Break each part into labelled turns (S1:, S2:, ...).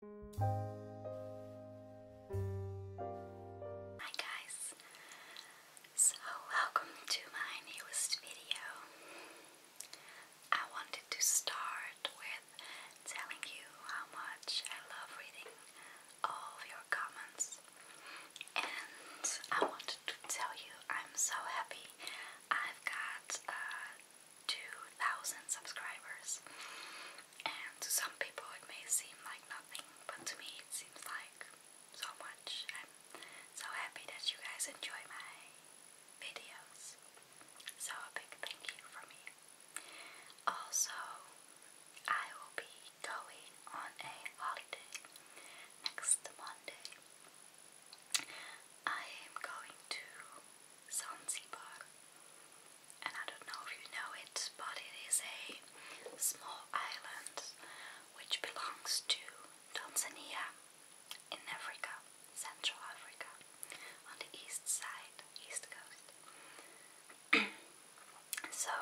S1: Hi guys, so welcome to my newest video. I wanted to start with telling you how much I love reading all of your comments and I wanted to tell you I'm so happy I've got 2,000 subscribers. And to some people it may seem like nothing, but to me it seems like so much. I'm so happy that you guys enjoy my videos. So a big thank you from me. Also, I will be going on a holiday next Monday. I am going to Zanzibar. And I don't know if you know it, but it is a small island which belongs to Tanzania in Africa, Central Africa, on the east side, east coast. so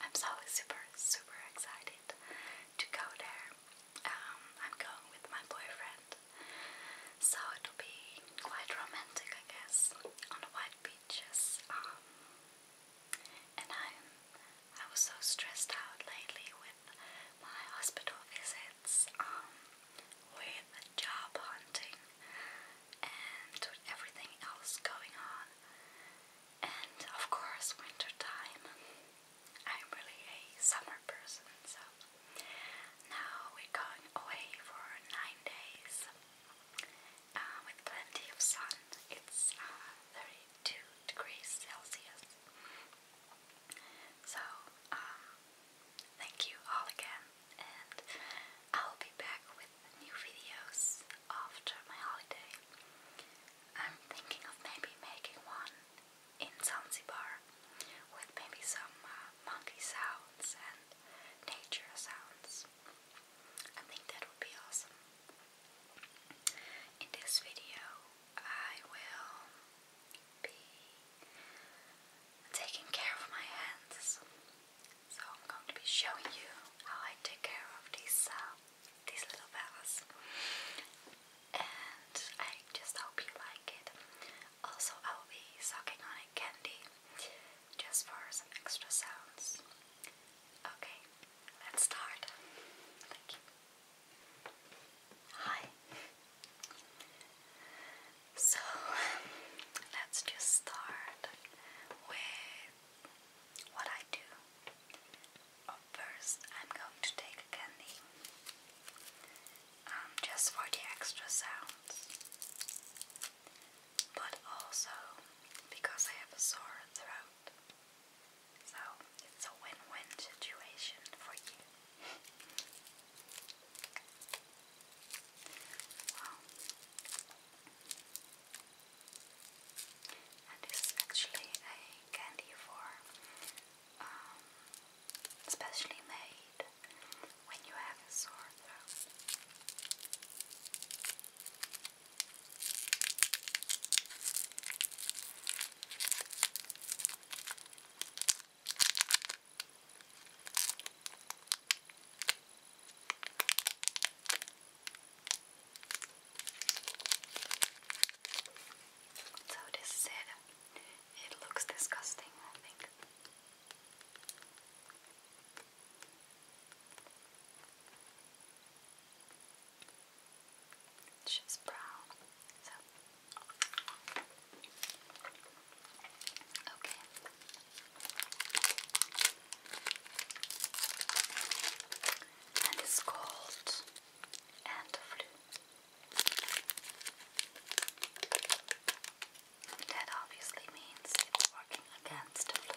S1: I'm so super, super excited to go there. Um, I'm going with my boyfriend so it'll be quite romantic, I guess, on the white beaches. Um, and i I was so stressed out lately with my hospital visits, um, with job hunting, and with everything else going on. And of course, winter time. I'm really a summer person, so now we're going away for nine days uh, with plenty of sun. It's 32 uh, degrees Celsius. So, um, thank you all again, and I'll be back with new videos after my holiday. I'm thinking of maybe making one in Zanzibar with maybe some uh, monkey sound and nature sounds. I think that would be awesome. In this video, I will be taking care of my hands. So I'm going to be showing you how I take care of these uh, these little fellas. And I just hope you like it. Also, I will be sucking on it candy just for some extra sounds. Okay, let's start. Thank you. Hi. So let's just start with what I do. First, I'm going to take a candy. Um, just for the extra sounds, but also because I have a sore throat. So it's a win win situation for you. wow. And this is actually a candy for um, made when you have a sore throat. So this is It looks disgusting, I think. She's brown. okay. And it's called and that obviously means it's working against blue.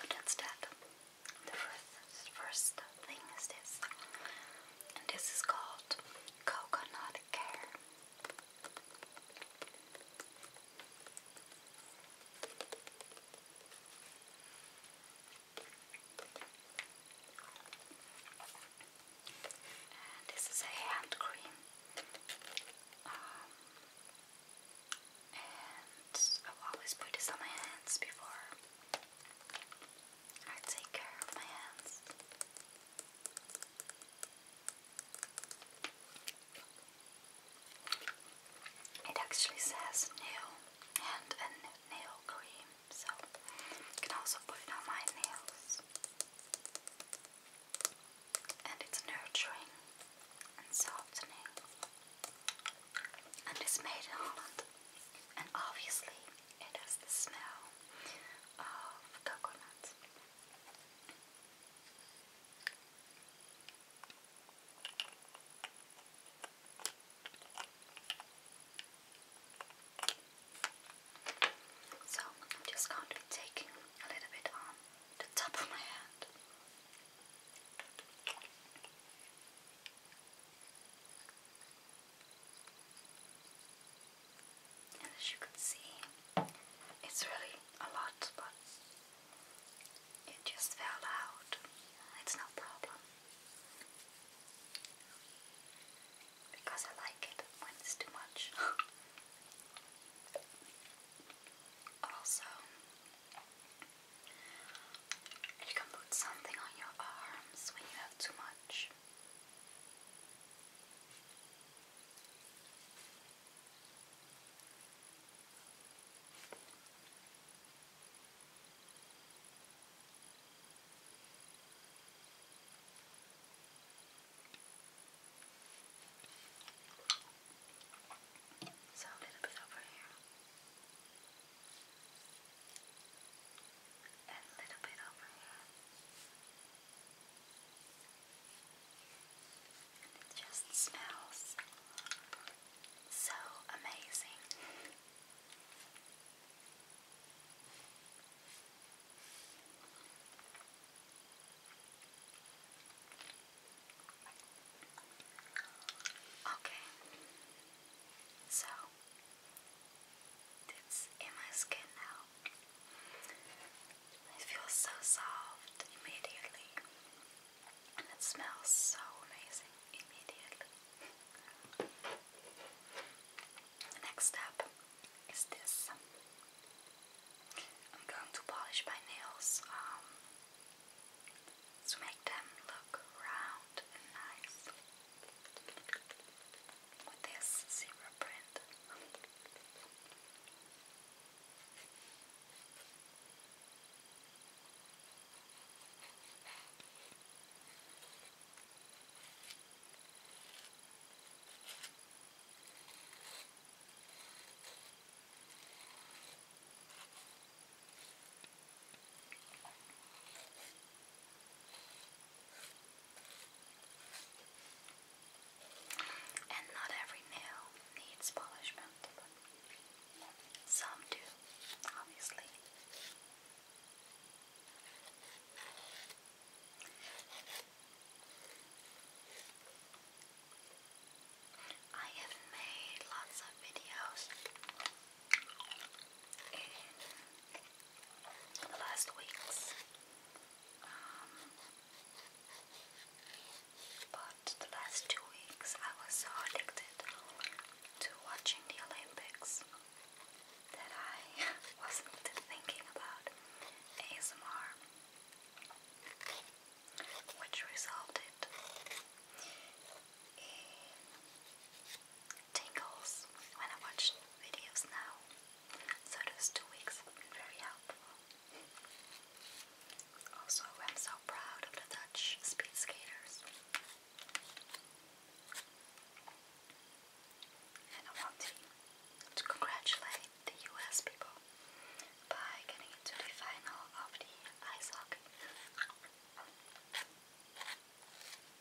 S1: But instead, the first, first thing is this, and this is called coconut care this is a hand cream. Um, and i always put this on my hands before I take care of my hands. It actually says nail and a nail cream so you can also put it on my nails. And it's nurturing and softening. And it's made in Holland. And obviously, it has the smell of coconut. So I'm just going to be taking a little bit on the top of my hand. as you can see, it's really a lot, but it just fell out. It's no problem because I like it when it's too much. also, you can put something on your arms when you have too much. So a little bit over here, and a little bit over here, and it just smells so amazing. Okay, so it's in my skin now. It feels so soft immediately, and it smells so amazing immediately. The next step is this. I'm going to polish my nails um, to make them look round and nice with this zebra print. And not every nail needs polishment, but some do, obviously. I have made lots of videos in the last weeks, um, but the last two weeks I was so addicted to watching the Olympics that I wasn't thinking about ASMR, which resulted in tingles when I watch videos now. So those two weeks have been very helpful. Also, I'm so proud of the Dutch speed skaters. And I want to, congratulate the US people by getting into the final of the ice hockey.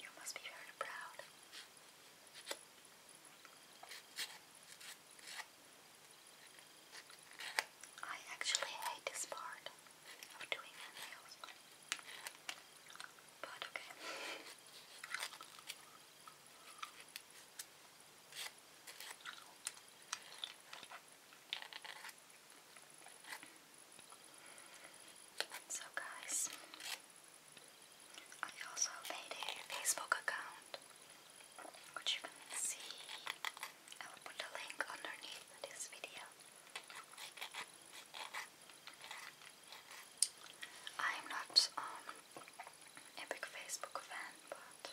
S1: You must be very proud. I actually hate this part. But okay. So guys, I also made a Facebook account, which you can see. I will put a link underneath this video. I'm not um, a big Facebook fan, but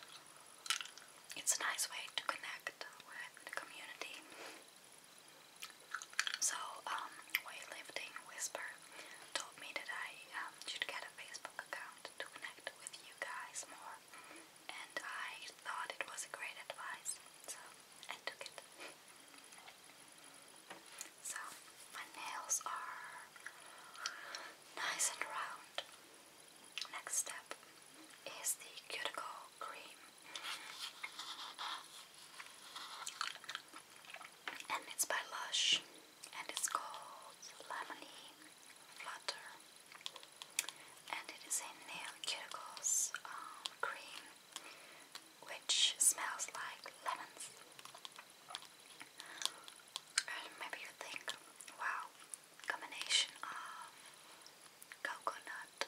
S1: it's a nice way to connect with the community. So, um, Whisper told me that I um, should get a Facebook account to connect with you guys more, and I thought it was a great advice. So, so my nails are nice and round. Next step is the cuticle cream. And it's by Lush and it's called Lemony Flutter. And it is a nail cuticles um, cream which smells like lemons. maybe you think, wow, combination of coconut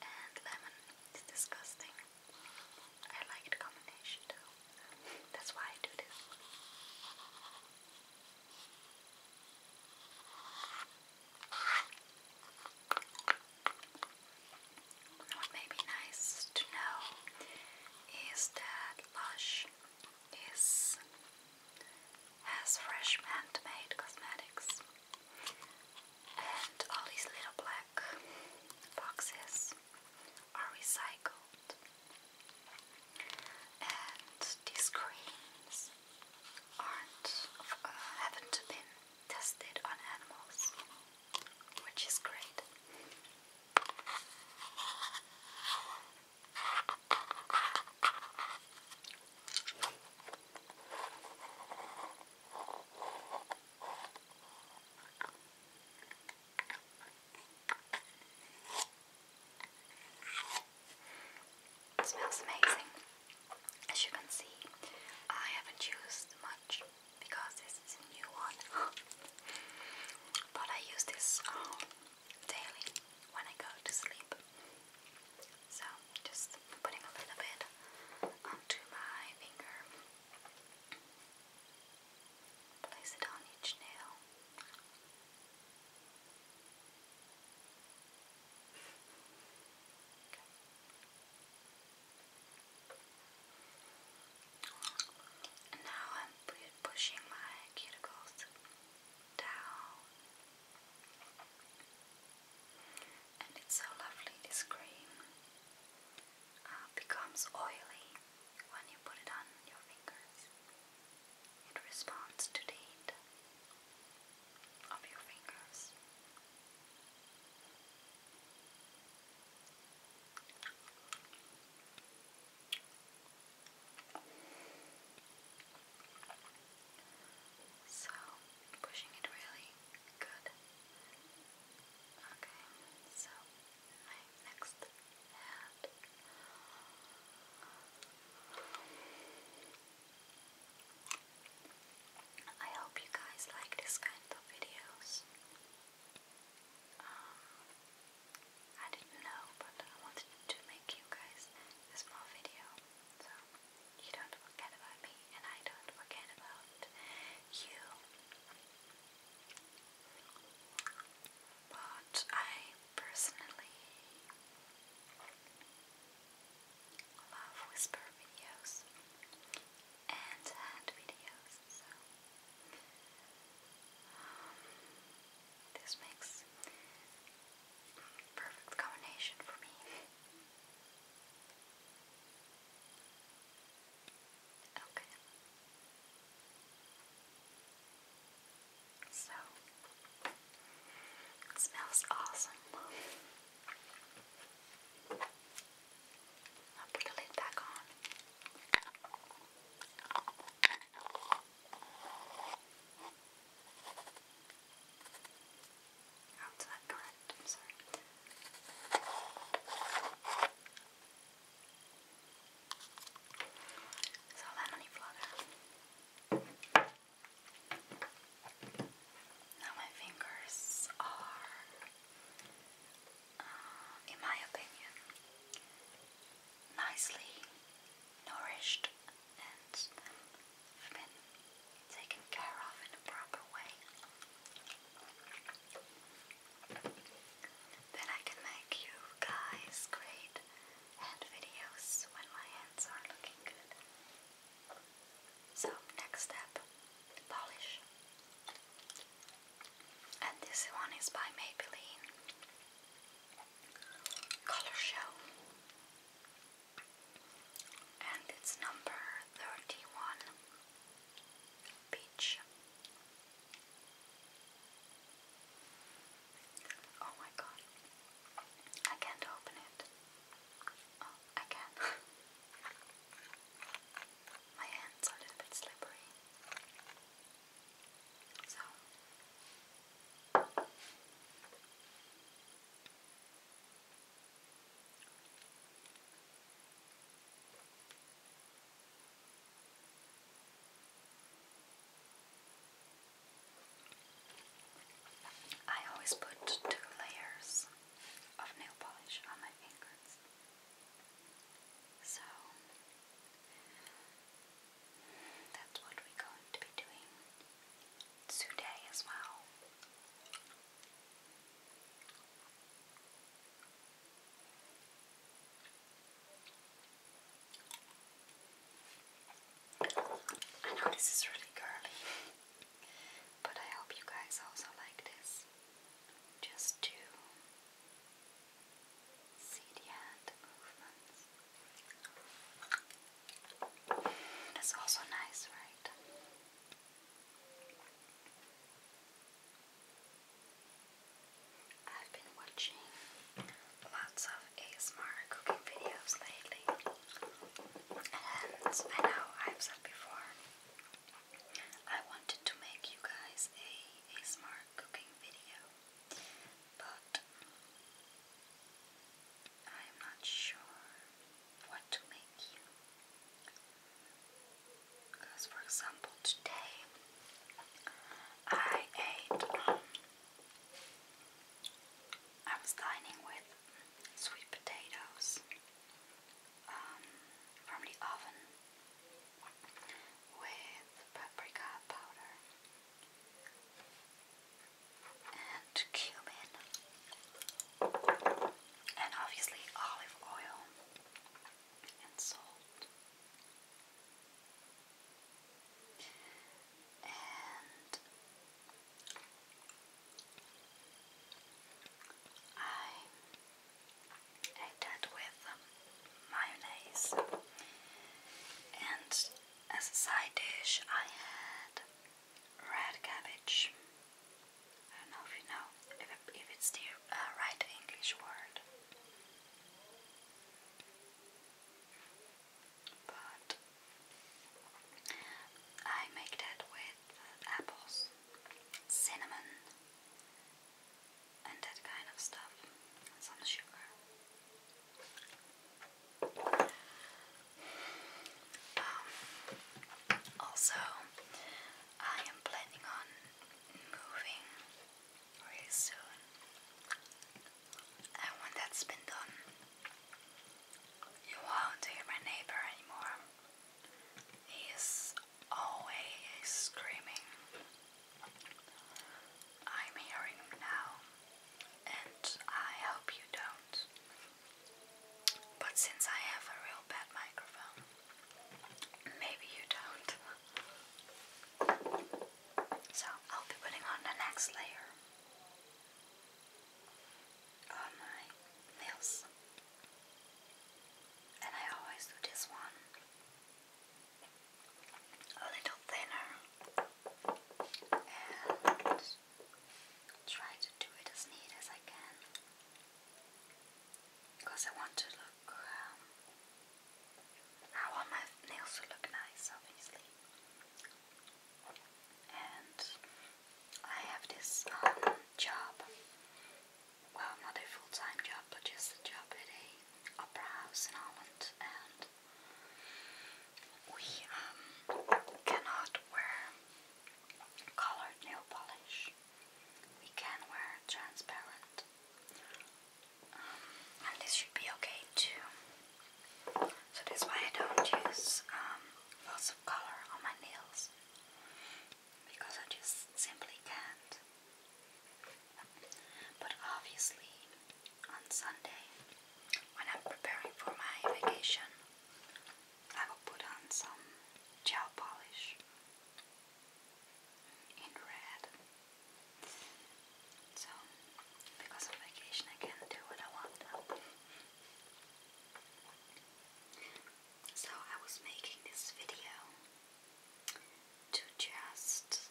S1: and lemon is disgusting. I like the combination too. That's why I do this. What may be nice to know is that Lush is has fresh handmade cosmetics and all these little black boxes are recycled and these creams aren't uh, haven't been tested on animals, which is great. smells amazing. As you can see, I haven't used much because this is a new one. but I use this um, daily when I go to sleep. So just putting a little bit onto my finger. Place it on each nail. Now I'm pushing my cuticles down. And it's so lovely, this cream uh, becomes oily when you put it on your fingers. It responds to the heat of your fingers. So, pushing it really good. Okay, so my next hand. I hope you guys like this kind of videos. Um, I didn't know, but I wanted to make you guys a small video, so you don't forget about me and I don't forget about you. But I personally love whisper videos and hand videos, so um, this makes perfect combination for me. Okay. So, it smells awesome. I'll put the lid back on. Oh, correct. I'm sorry. So, lemony flutter. Now my fingers are, uh, in my opinion, nicely nourished and have been taken care of in a proper way. Then I can make you guys great hand videos when my hands are looking good. So next step, polish. And this one is by Maybelline. Color Show. And it's number 31. Peach. Oh my god. I can't open it. Oh, I can. My hands are a little bit slippery. So. I always put two layers of nail polish on my fingers. So that's what we're going to be doing today as well. I know this is really girly, but I hope you guys also like this. Just to see the hand movements. That's also nice, right? I've been watching lots of ASMR cooking videos lately. And I know I've said before, I wanted to make you guys a, a smart cooking video, but I'm not sure what to make you. Because, for example, today I ate. Um, I was dining with sweet potatoes um, from the oven with paprika powder and cumin and obviously olive oil and salt. I ate that with um, mayonnaise, and as a side dish, I had red cabbage. I don't know if you know if, if it's the uh, right English word but I make that with apples, cinnamon, and that kind of stuff, some sugar. Um, also, I am planning on moving really soon. And when that's been done, you won't hear my neighbor anymore. He is always screaming. I'm hearing him now, and I hope you don't. But since I have a real bad microphone, maybe you don't. So I'll be putting on the next layer all my nails. And I always do this one a little thinner and try to do it as neat as I can because I want to look, um, I want my nails to look nice, obviously and I have this um, job. Well, not a full-time job, but just a job at a opera house in Holland, and we um, cannot wear colored nail polish. We can wear transparent, um, and this should be okay to so that's why I don't use um, lots of color on my nails because I just simply can't. But obviously, on Sunday, when I'm preparing for my vacation, I will put on some gel polish in red. So, because on vacation I can do what I want. So, I was making this video to just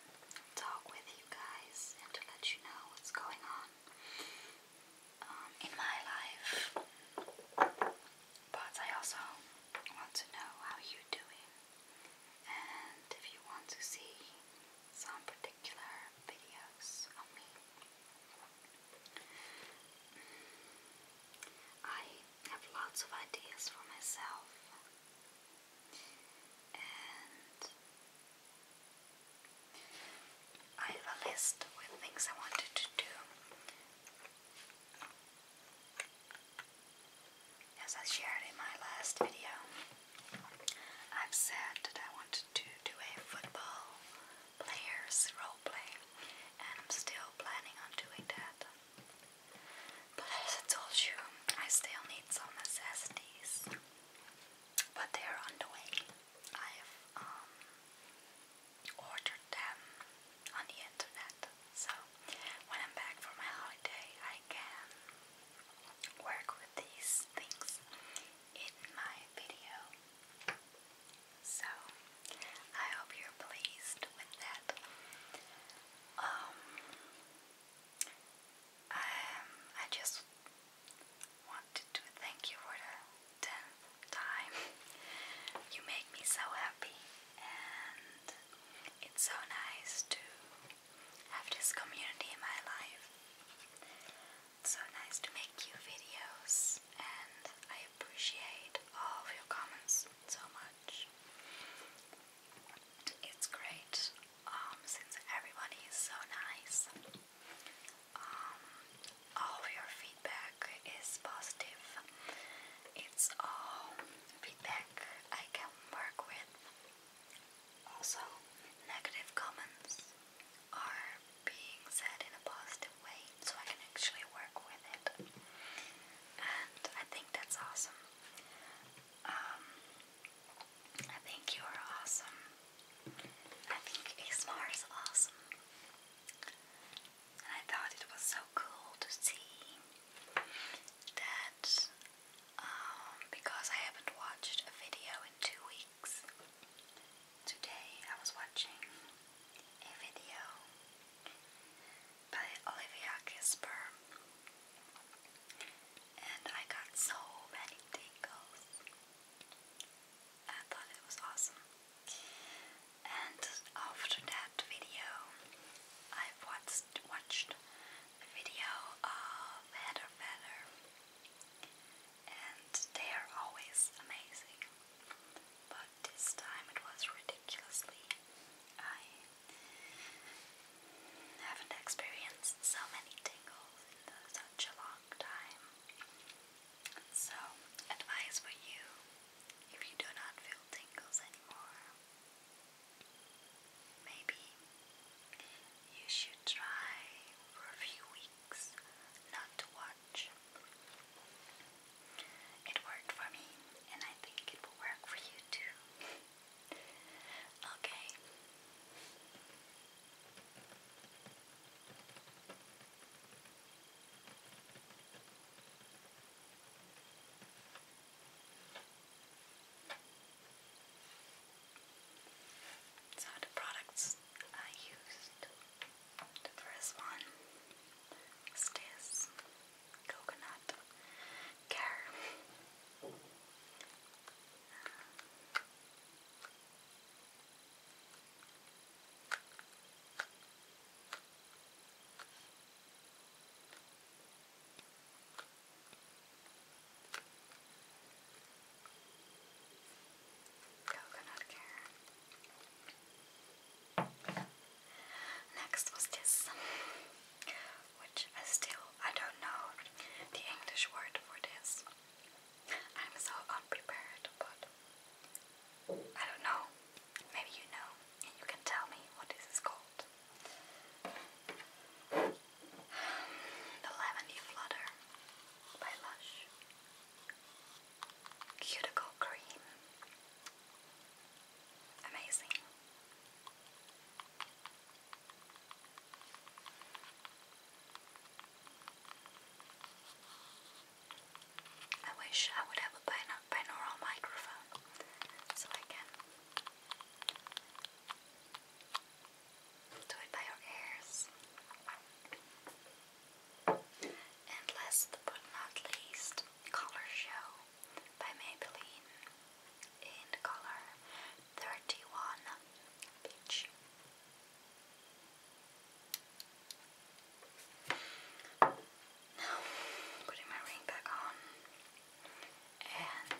S1: talk with you guys and to let you know what's going on um, in my life. But I also want to know how you're doing and if you want to see some particular videos of me. I have lots of ideas for myself, and I have a list with things I wanted to do. As I shared in my last video, I've said that I wanted to do a football players role play, and I'm still planning on doing that. But as I told you, I still need some necessities, but they're on the way. I've um, ordered them on the internet, so when I'm back from my holiday, I can work with these things in my video. So, I hope you're pleased with that. Um, um, I, just wanted to thank you for the tenth time. You make me so happy, and it's so nice to have this community in my life so nice to make you videos and I appreciate all your comments so much. It's great um, since everybody is so nice. Um, all of your feedback is positive. It's all feedback I can work with also, negative comments are being said in a positive way, so I can actually work with it. And I think that's awesome. Um, I think you are awesome. I think ASMR is awesome. And I thought it was so cool to see that um, because I haven't watched a video in two weeks. Today I was watching a video by Olivia Kisper, and I got so many tingles. I thought it was awesome. And after that video, I've watched, watched video of Heather Feather, and they are always amazing. But this time it was ridiculously. I haven't experienced so many tingles in such a long time. So, advice for you if you do not feel tingles anymore Maybe you should try for a few weeks not to watch. It worked for me, and I think it will work for you too. okay. So the products I used, the first one was this coconut care. Uh, Coconut care. Next was this, which I still I don't know the English word for this. I'm so unprepared, but I don't know. Maybe you know, and you can tell me what this is called. The Lavendy Flutter by Lush. Cuticle Cream. Amazing. I wish I would have a binaural microphone so I can do it by your ears. And last but not least, Color Show by Maybelline in color 31 Peach. Now, putting my ring back on and